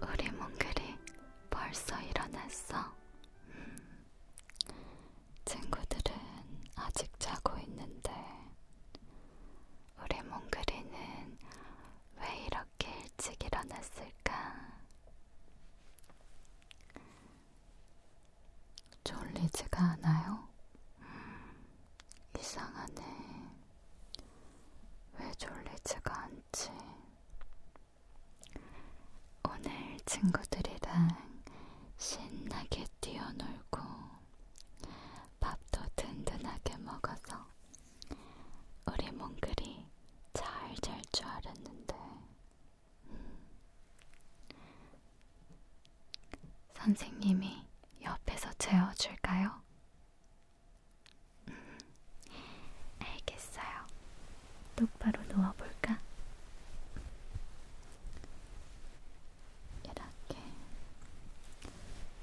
우리 몽글이 벌써 일어났어. 음. 친구들은 아직 자고 있는데, 우리 몽글이는 왜 이렇게 일찍 일어났을까? 졸리지가 않아요? 음, 이상하네. 왜 졸리지가 않지? 오늘 친구들이랑 신나게 뛰어놀고 밥도 든든하게 먹어서 우리 몽글이 잘 잘 줄 알았는데 음. 선생님이 옆에서 재워줄까요? 음. 알겠어요. 똑바로 누워볼까? 이렇게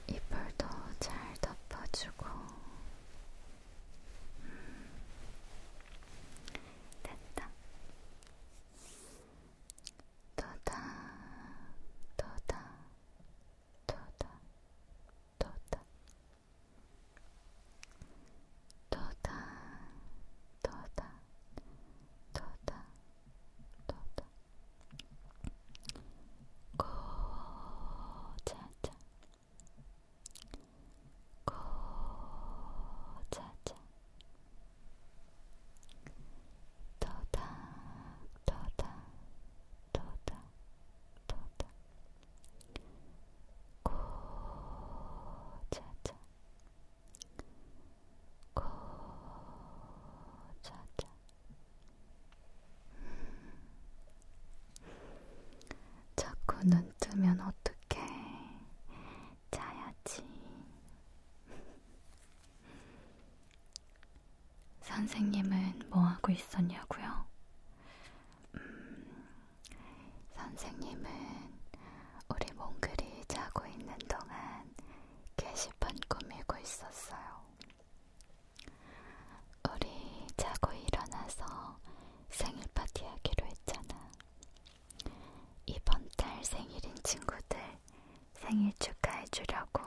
이불도 잘 덮어주고 됐다. 도다, 도다, 도다, 도다, 도다, 도다, 도다, 도다. 고자자 고자자 도닥 도닥 도닥 도닥 고자자 고자자 자꾸 눈 뜨면 어떡해. 자야지. 선생님은 뭐 하고 있었냐고요? 음, 선생님은 우리 몽글이 자고 있는 동안 게시판 꾸미고 있었어요. 우리 자고 일어나서 생일 파티 하기로 했잖아. 이번 달 생일인 친구들 생일 축하해 주려고.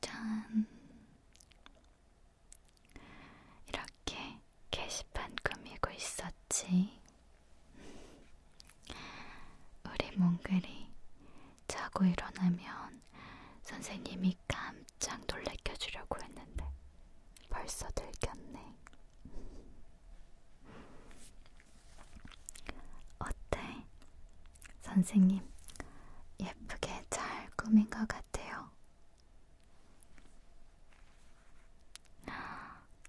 짠! 이렇게 게시판 꾸미고 있었지. 우리 몽글이 자고 일어나면 선생님이 깜짝 놀래켜 주려고 했는데 벌써 들켰네. 어때? 선생님, 예쁘게 잘 꾸민 것 같아요.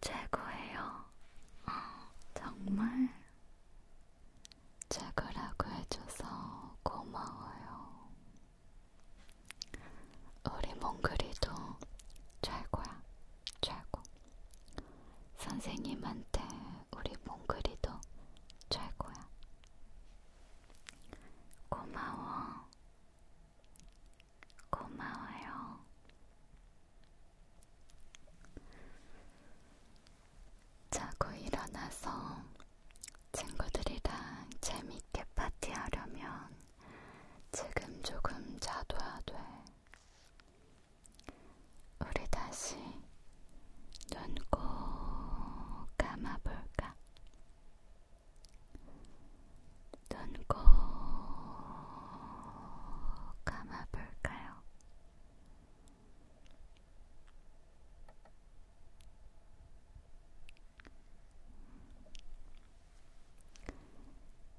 최고예요. 정말 최고라고 해줘서 고마워요. 우리 몽글이도 최고야, 최고. 선생님한테 우리 몽글이도 최고야. 고마워. 고마워요. 자고 일어나서 친구들이랑 재밌게 파티하려면 지금 조금 자둬야 돼. 우리 다시 눈 꼭 감아볼까? 눈 꼭 감아볼까요?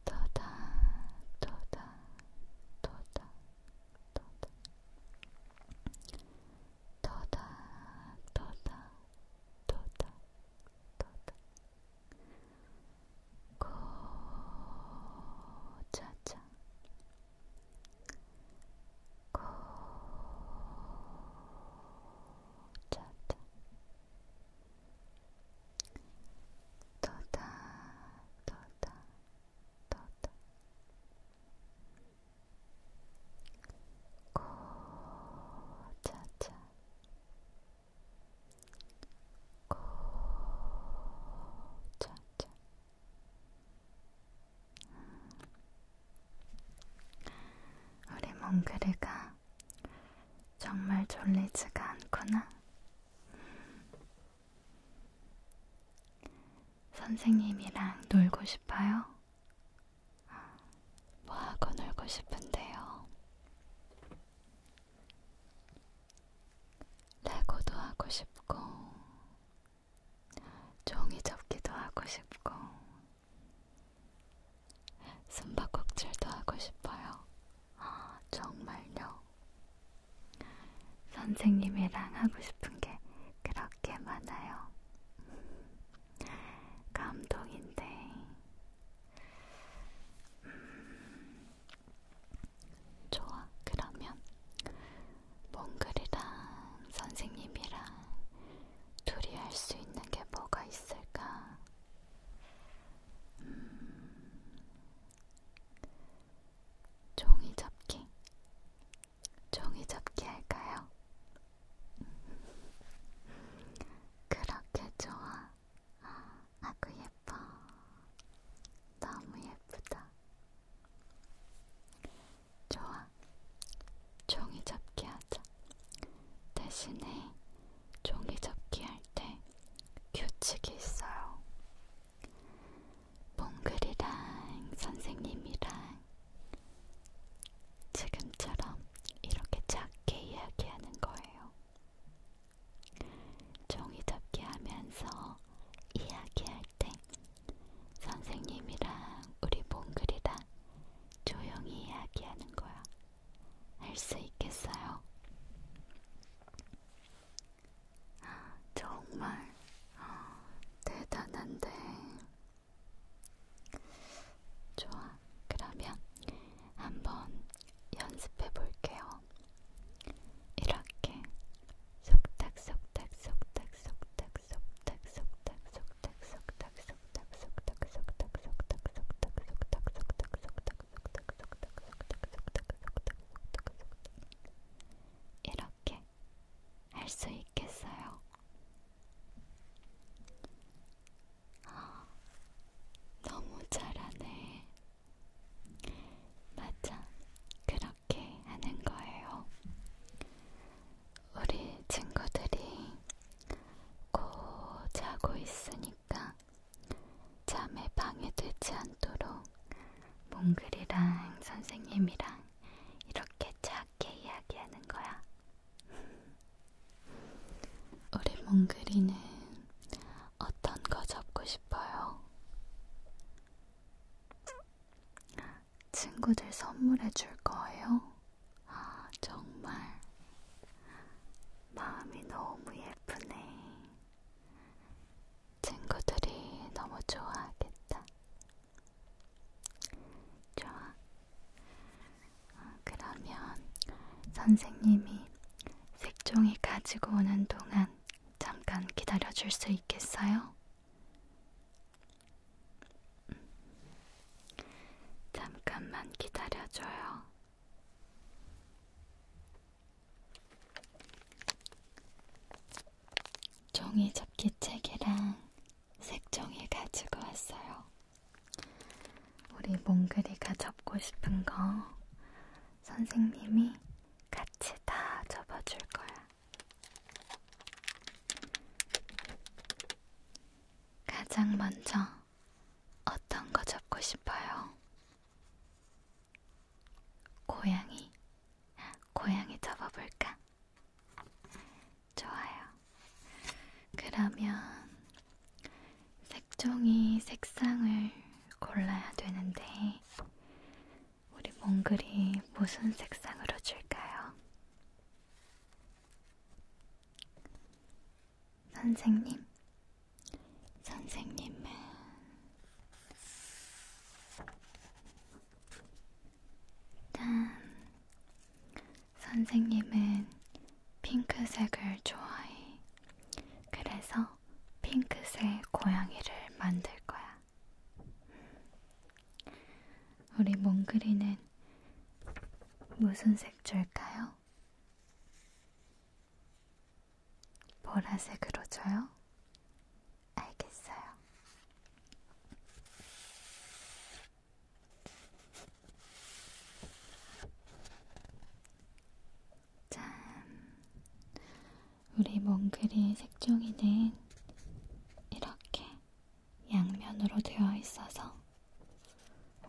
도다 도다 도다 도다 도다 도다 도다 도다 고차차 고자다 떠다 떠다 떠다 고자자 고자자 고자자 우리 몽그르가 정말 졸리지가 않구나. 선생님이랑 놀고 싶어요? 뭐하고 놀고 싶은데요? 레고도 하고 싶고, 종이접기도 하고 싶고, 숨바꼭질도 하고 싶어요. 아, 정말요. 선생님이랑 하고 싶은 게 그렇게 많아요. 감동인데. 음, 좋아, 그러면 몽글이랑 선생님이랑 둘이 할 수 있는 게 뭐가 있을까? 음... 종이 접기. 종이 접기 할까요? 그렇게 좋아. 아, 아구 예뻐. 너무 예쁘다. 좋아. 종이 접기 하자. 대신에 종이 접기 할 때 규칙이 있어요. 몽글이랑 선생님이랑 지금처럼 이렇게 작게 이야기하는 거예요. 종이 접기 하면서 이야기할 때 선생님이랑 우리 몽글이랑 조용히 이야기하는 거야. 할 수 있겠어요? 정말 대단한데. 좋아, 그러면 한번 연습해 볼게요. 이렇게 속닥 속닥 속닥 속닥 속닥 속닥 속닥 속닥 이렇게 할 수 있겠어요. 아, 너무 잘하네. 맞아, 그렇게 하는 거예요. 우리 친구들이 고 자고 있으니까 잠에 방해되지 않도록 몽글이랑 선생님이랑 이렇게 작게 이야기하는 거야. 우리 몽글이는 어떤 거 접고 싶어요? 친구들 선물해 줄 거예요? 아, 정말. 마음이 너무 예쁘네. 친구들이 너무 좋아하겠다. 좋아. 아, 그러면 선생님이 색종이 가지고 오는 동안 잠깐 기다려 줄 수 있겠어요? 잠깐만 기다려줘요. 종이 접기책이랑 색종이 가지고 왔어요. 우리 몽글이가 접고 싶은 거 선생님이 같이 다 접어줄 거야. 가장 먼저 어떤 거 접고 싶어요? 고양이, 고양이 접어볼까? 좋아요. 그러면 색종이 색상을 골라야 되는데 우리 몽글이 무슨 색상으로 줄까요? 선생님, 선생님은 짠! 선생님은 핑크색을 좋아해. 그래서 핑크색 고양이를 만들 거야. 우리 몽글이는 무슨 색 줄까요? 보라색으로 줘요? 알겠어요. 짠! 우리 몽글이 색종이는 이렇게 양면으로 되어 있어서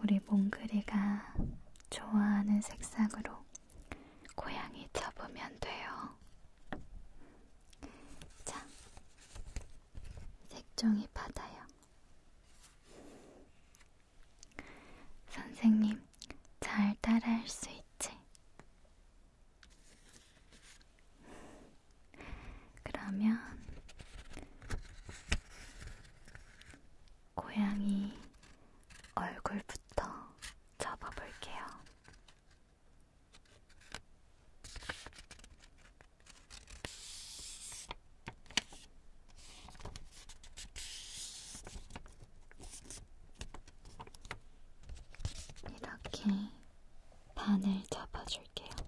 우리 몽글이가 좋아하는 색상으로 고양이 접으면 돼요. 자, 색종이 받아요. 선생님, 잘 따라할 수 있지? 그러면 고양이 얼굴부터 접어볼게요. 이렇게 반을 접어줄게요.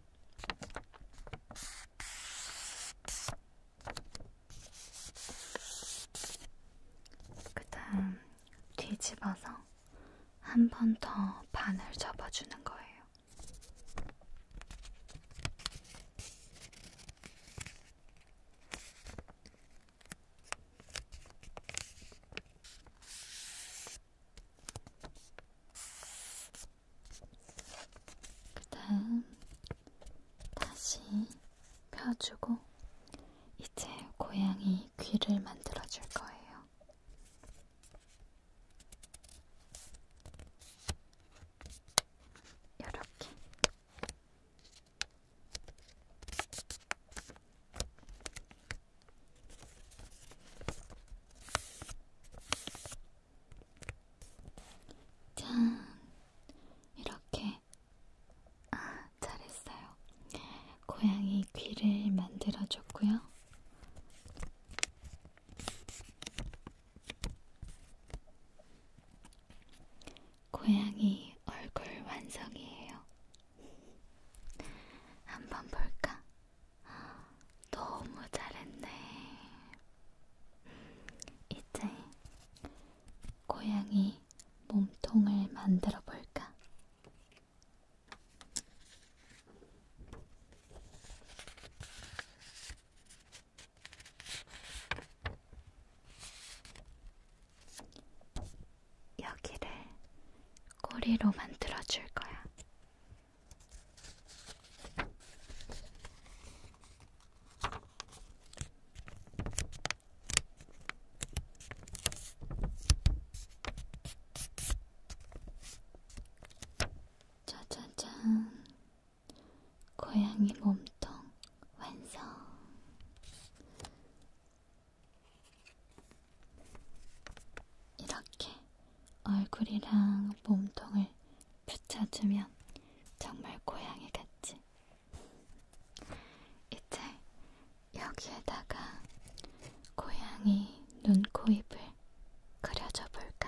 그다음 뒤집어서 한 번 더 반을 접어주는 거예요. 그 다음 다시 펴주고 이제 고양이 귀를 만들어 줄 거예요. 이렇게 짠! 이렇게 아, 잘했어요. 고양이 귀를 만들어줬고요. 고양이 얼굴 완성이에요. 한번 볼까? 너무 잘했네. 이제 고양이 몸통을 만들어 볼까? 여기를 꼬리로 만들어 줄 거야. 짜자잔, 고양이 몸통 완성. 이렇게 얼굴이랑 몸통을 붙여주면 정말 고양이 같지. 이제 여기에다가 고양이 눈, 코, 입을 그려줘 볼까?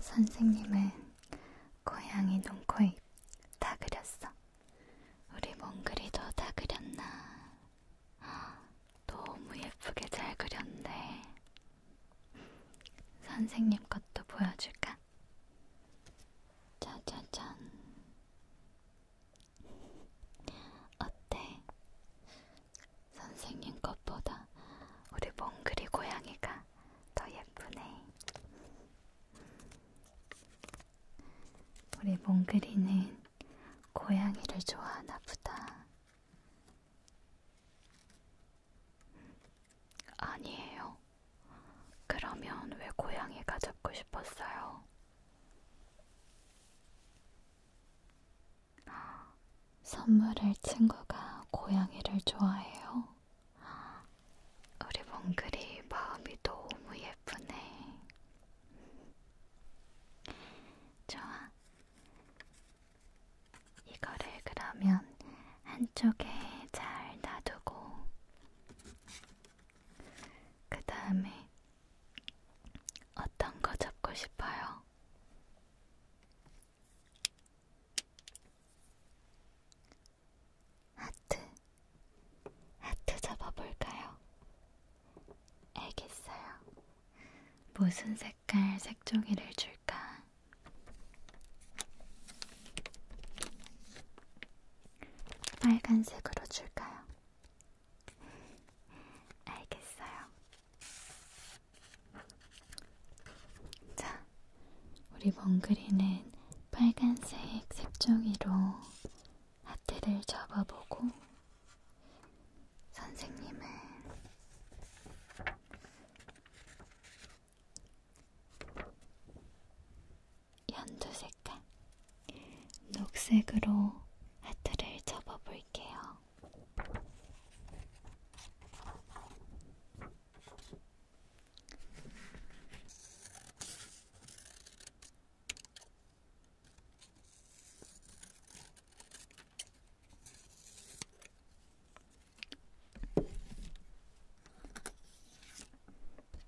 선생님은 고양이 눈코입 다 그렸어. 우리 몽글이도 다 그렸나 너무 예쁘게 잘 그렸네. 선생님 것도 보여줄까? 짜자잔. 어때? 선생님 것보다 우리 몽글이 고양이가 더 예쁘네. 우리 몽글이는 고양이를 좋아하나 보다. 아니에요. 그러면 왜 고양이가 잡고 싶었어요? 선물을 친구가 고양이를 좋아해요. 우리 몽글이 마음이 너무 예쁘네. 좋아. 이거를 그러면 한쪽에 잘 놔두고 그 다음에 어떤 거 잡고 싶어요? 하트, 하트 잡아볼까요? 알겠어요. 무슨 색깔 색종이를 줄까? 빨간색으로 줄까요? 알겠어요. 자, 우리 몽글이는 빨간색 색종이로 하트를 접어보고 선생님은 연두 색깔 녹색으로 하트를 접어 볼게요.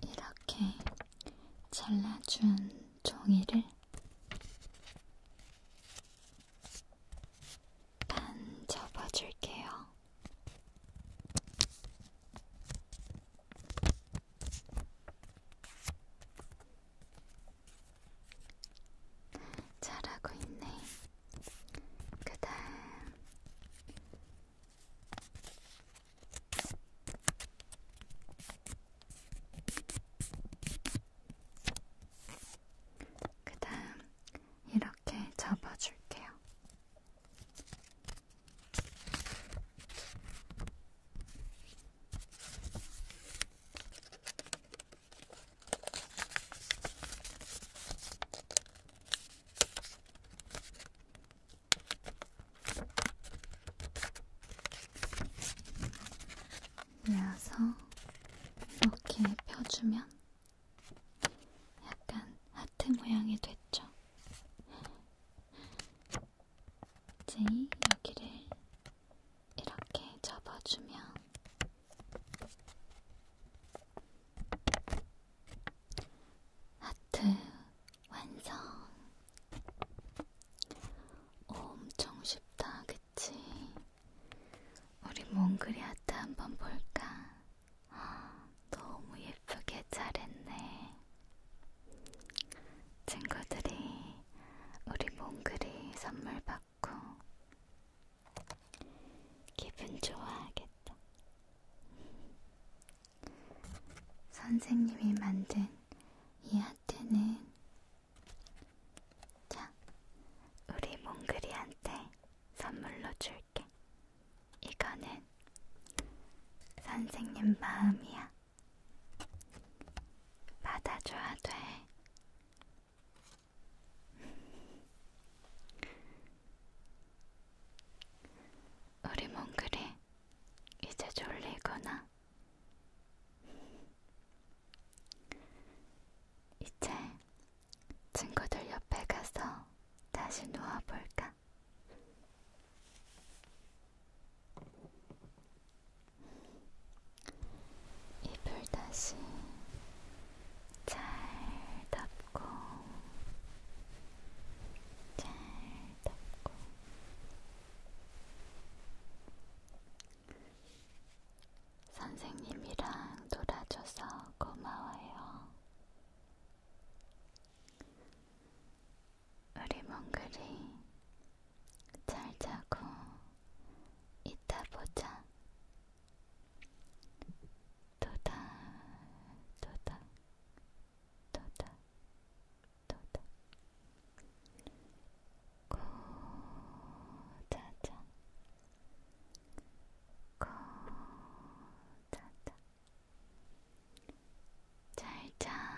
이렇게 잘라준 종이를 반 접어줄게요. 잘하고 있네. 그다음 그다음 이렇게 접어줄게요. 나서 이렇게 펴주면 약간 하트 모양이 됐죠. 이제 여기를 이렇게 접어주면 하트 완성. 엄청 쉽다, 그치? 우리 몽글이 하트 한번 볼까? 아, 너무 예쁘게 잘했네. 친구들이 우리 몽글이 선물 받 같고 기분 좋아하겠다. 선생님이 만든 이 하트는 자, 우리 몽글이한테 선물로 줄게. 이거는 선생님 마음이야. 받아줘야 돼. 우리 몽글이 이제 졸리구나. 이제 친구들 옆에 가서 다시 누워볼까? 입을 다시 잘 덮고 잘 덮고 선생님이랑 놀아줘서 고마워요. 우리 몽글이 잘 자고 이따 보자. 도다 도다 도다 도다 고자자 고자자 잘자